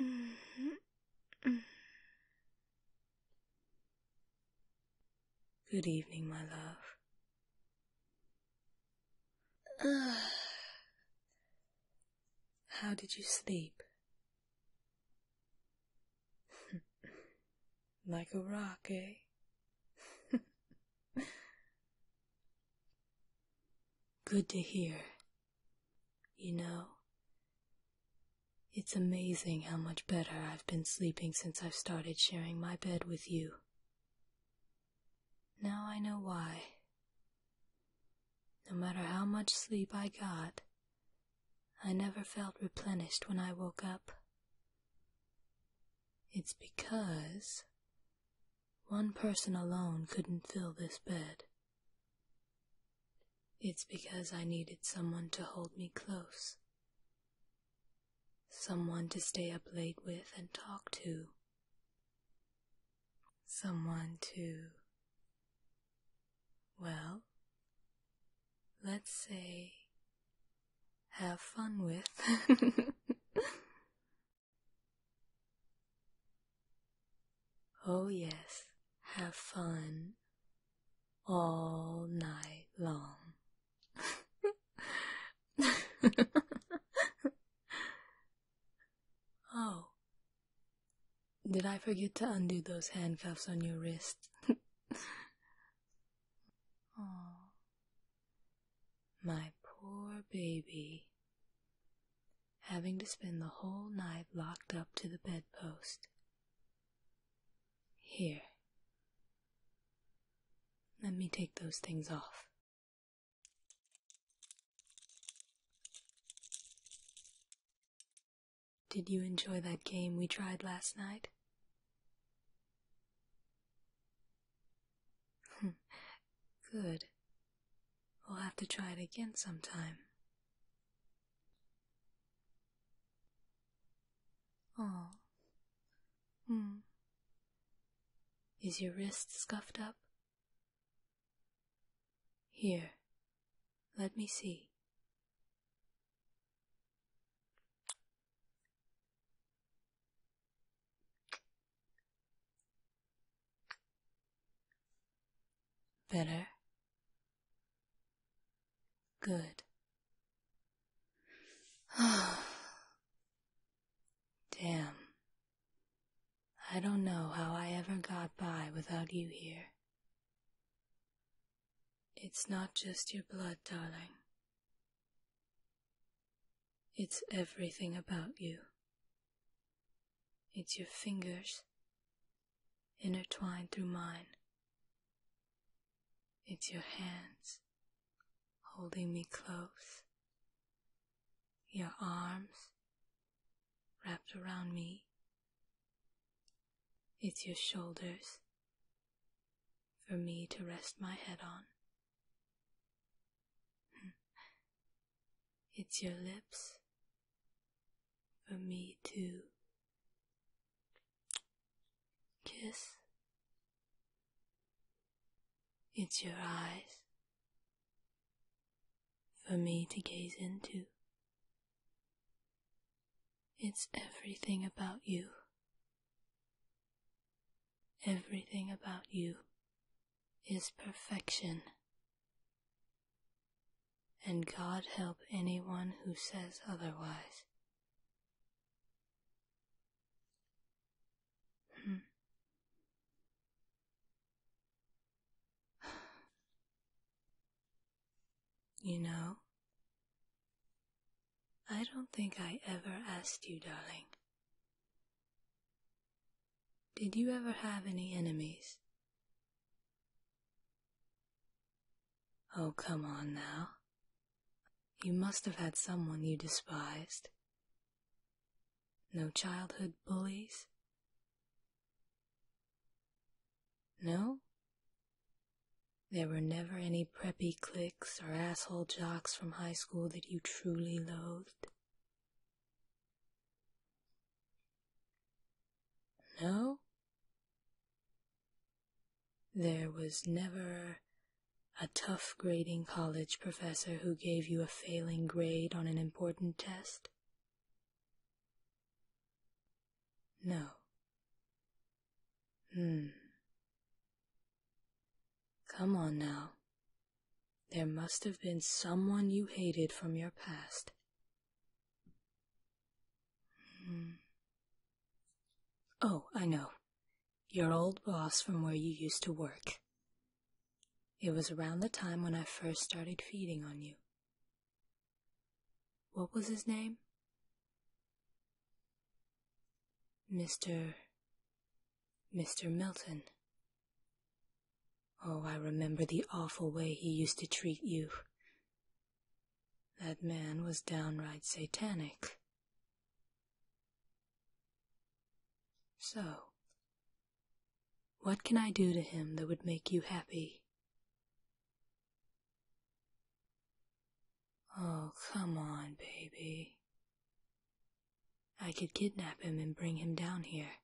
Mm-hmm. Good evening, my love. how did you sleep? like a rock, eh? Good to hear. You know, it's amazing how much better I've been sleeping since I've started sharing my bed with you. Now I know why. No matter how much sleep I got, I never felt replenished when I woke up. It's because one person alone couldn't fill this bed. It's because I needed someone to hold me close, someone to stay up late with and talk to, someone to, well, let's say, have fun with. Oh, yes, have fun all night long. oh, did I forget to undo those handcuffs on your wrist? oh, my poor baby having to spend the whole night locked up to the bedpost. Here. Let me take those things off. Did you enjoy that game we tried last night? Good. We'll have to try it again sometime. Oh. Hmm. Is your wrist scuffed up? Here, let me see. Better. Good. Damn. I don't know how I ever got by without you here. It's not just your blood, darling. It's everything about you. It's your fingers intertwined through mine. It's your hands holding me close, your arms wrapped around me. It's your shoulders for me to rest my head on. It's your lips for me to kiss. It's your eyes for me to gaze into. It's everything about you. Everything about you is perfection. And God help anyone who says otherwise. Hmm. You know, I don't think I ever asked you, darling, did you ever have any enemies? Oh, come on now. You must have had someone you despised. No childhood bullies? No? There were never any preppy cliques or asshole jocks from high school that you truly loathed? No? There was never a tough grading college professor who gave you a failing grade on an important test? No. Hmm. Come on now. There must have been someone you hated from your past. Hmm. Oh, I know. Your old boss from where you used to work. It was around the time when I first started feeding on you. What was his name? Mr. Mr. Milton. Oh, I remember the awful way he used to treat you. That man was downright satanic. So, what can I do to him that would make you happy? Oh, come on, baby. I could kidnap him and bring him down here.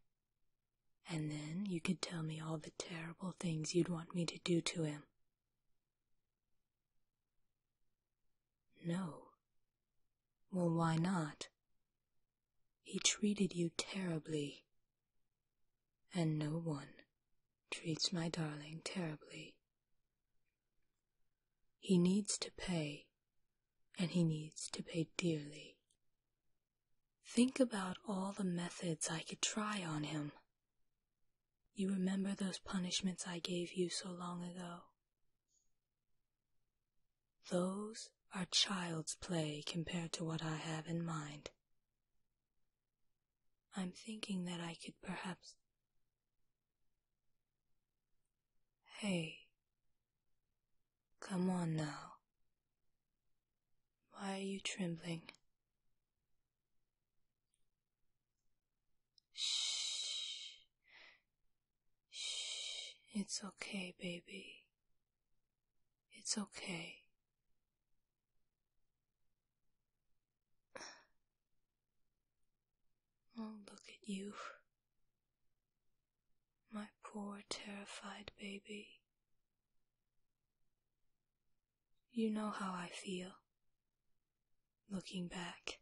And then you could tell me all the terrible things you'd want me to do to him. No. Well, why not? He treated you terribly. And no one treats my darling terribly. He needs to pay and he needs to pay dearly. Think about all the methods I could try on him. You remember those punishments I gave you so long ago? Those are child's play compared to what I have in mind. I'm thinking that I could perhaps. Hey, Come on now. Why are you trembling? Shh. Shh. It's okay, baby. It's okay. Oh, look at you. My poor terrified baby. You know how I feel looking back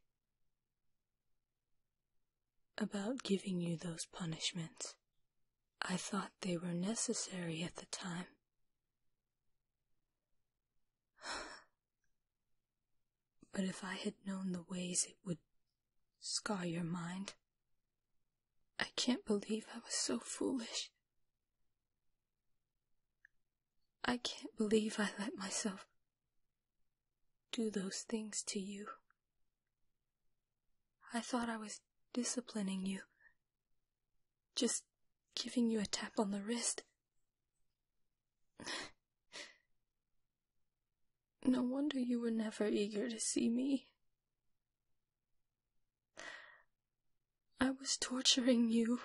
about giving you those punishments. I thought they were necessary at the time. but if I had known the ways it would scar your mind. I can't believe I was so foolish. I can't believe I let myself do those things to you. I thought I was disciplining you, just giving you a tap on the wrist. No wonder you were never eager to see me. I was torturing you.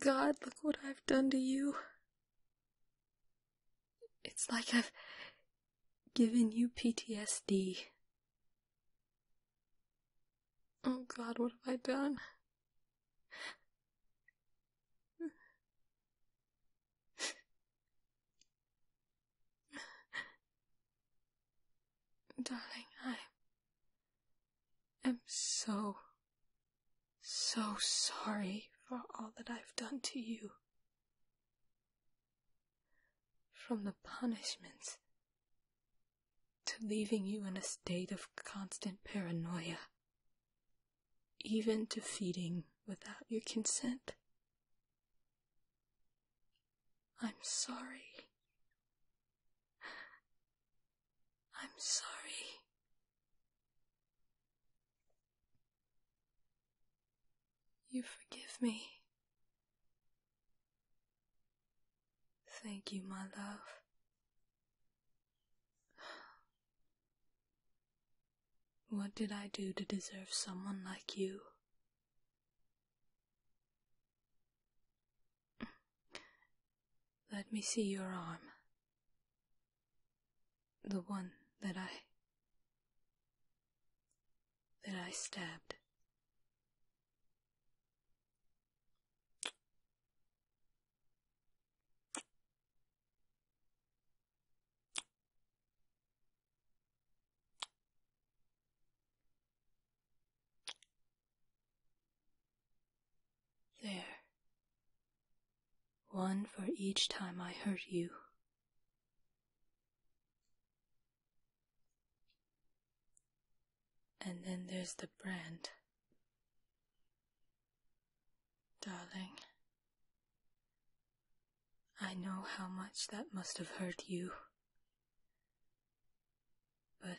God, look what I've done to you. It's like I've given you PTSD. Oh God, what have I done? Darling, I am so, so sorry for all that I've done to you. From the punishments to leaving you in a state of constant paranoia even to feeding without your consent. I'm sorry. I'm sorry. You forgive me. Thank you, my love. What did I do to deserve someone like you? Let me see your arm. The one that I. that I stabbed. There. One for each time I hurt you. And then there's the brand. Darling, I know how much that must have hurt you. But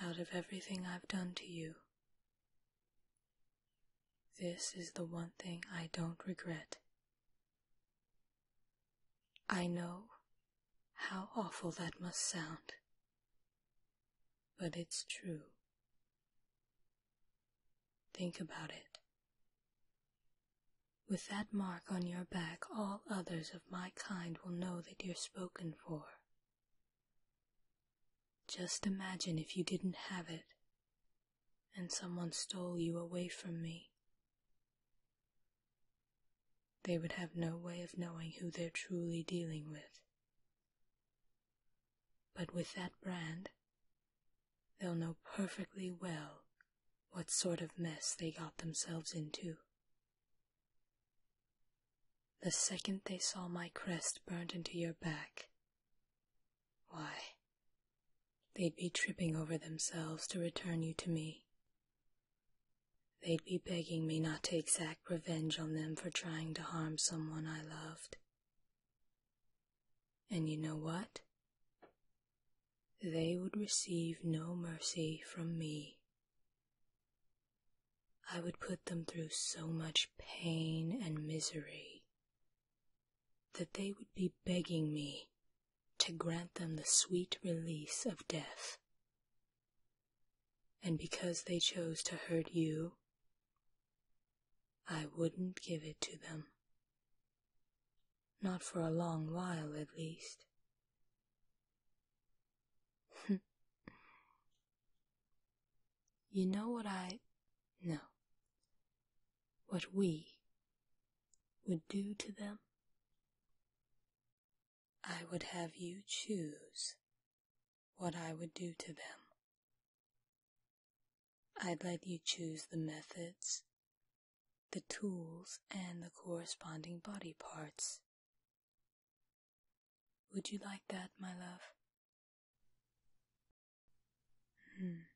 out of everything I've done to you, this is the one thing I don't regret. I know how awful that must sound. But it's true. Think about it. With that mark on your back, all others of my kind will know that you're spoken for. Just imagine if you didn't have it, and someone stole you away from me they would have no way of knowing who they're truly dealing with. But with that brand, they'll know perfectly well what sort of mess they got themselves into. The second they saw my crest burnt into your back, why, they'd be tripping over themselves to return you to me They'd be begging me not to exact revenge on them for trying to harm someone I loved. And you know what? They would receive no mercy from me. I would put them through so much pain and misery that they would be begging me to grant them the sweet release of death. And because they chose to hurt you, I wouldn't give it to them. Not for a long while, at least. you know what I. know. What we would do to them? I would have you choose what I would do to them. I'd let you choose the methods, the tools, and the corresponding body parts. Would you like that, my love? Hmm.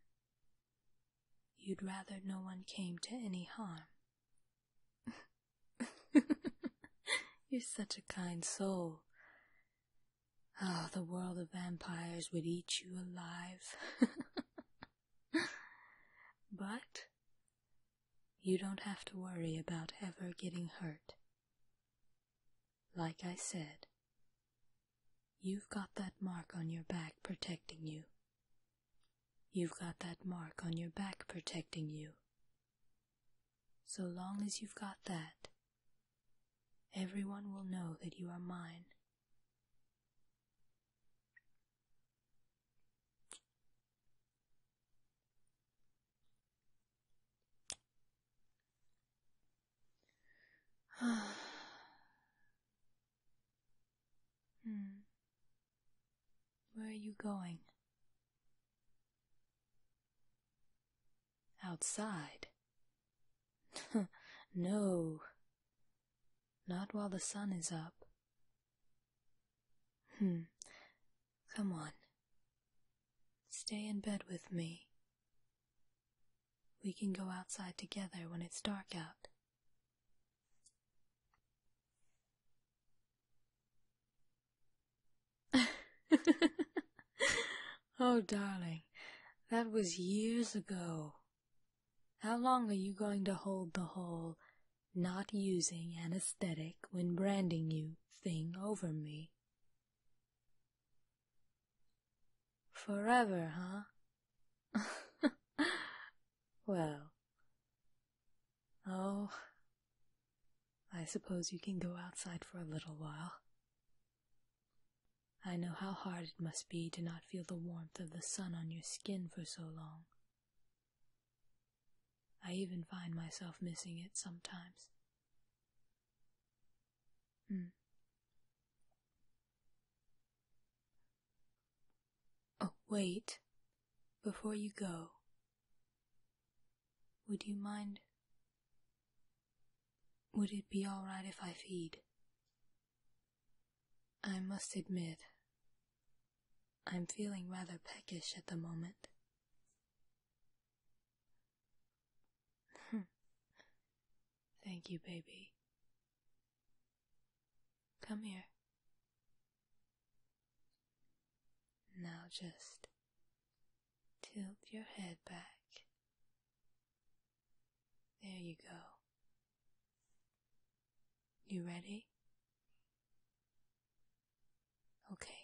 You'd rather no one came to any harm. You're such a kind soul. Oh, the world of vampires would eat you alive. but you don't have to worry about ever getting hurt. Like I said, you've got that mark on your back protecting you. You've got that mark on your back protecting you so long as you've got that, everyone will know that you are mine. hmm. Where are you going? Outside? no, not while the sun is up. Hmm. come on. Stay in bed with me. We can go outside together when it's dark out. oh, darling, that was years ago. How long are you going to hold the whole not using anesthetic when branding you thing over me? Forever, huh? well, Oh, I suppose you can go outside for a little while. I know how hard it must be to not feel the warmth of the sun on your skin for so long. I even find myself missing it sometimes. Hmm. Oh, wait. Before you go, would you mind? Would it be all right if I feed? I must admit, I'm feeling rather peckish at the moment. Thank you, baby. Come here. Now just tilt your head back. There you go. You ready? Okay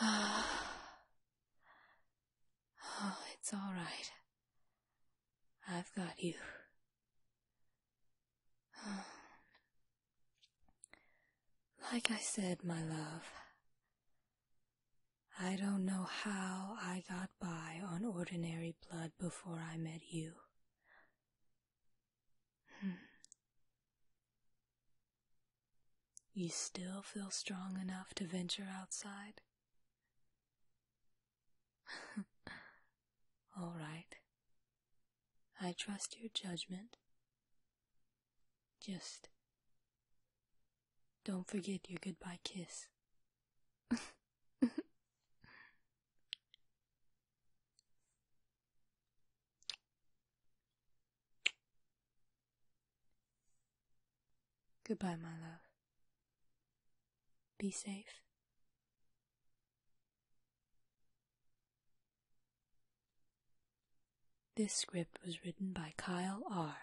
oh, it's all right. I've got you. Like I said, my love, I don't know how I got by on ordinary blood before I met you. Hmm. You still feel strong enough to venture outside? All right. I trust your judgment. Just don't forget your goodbye kiss. goodbye, my love. Be safe. This script was written by Kyle R.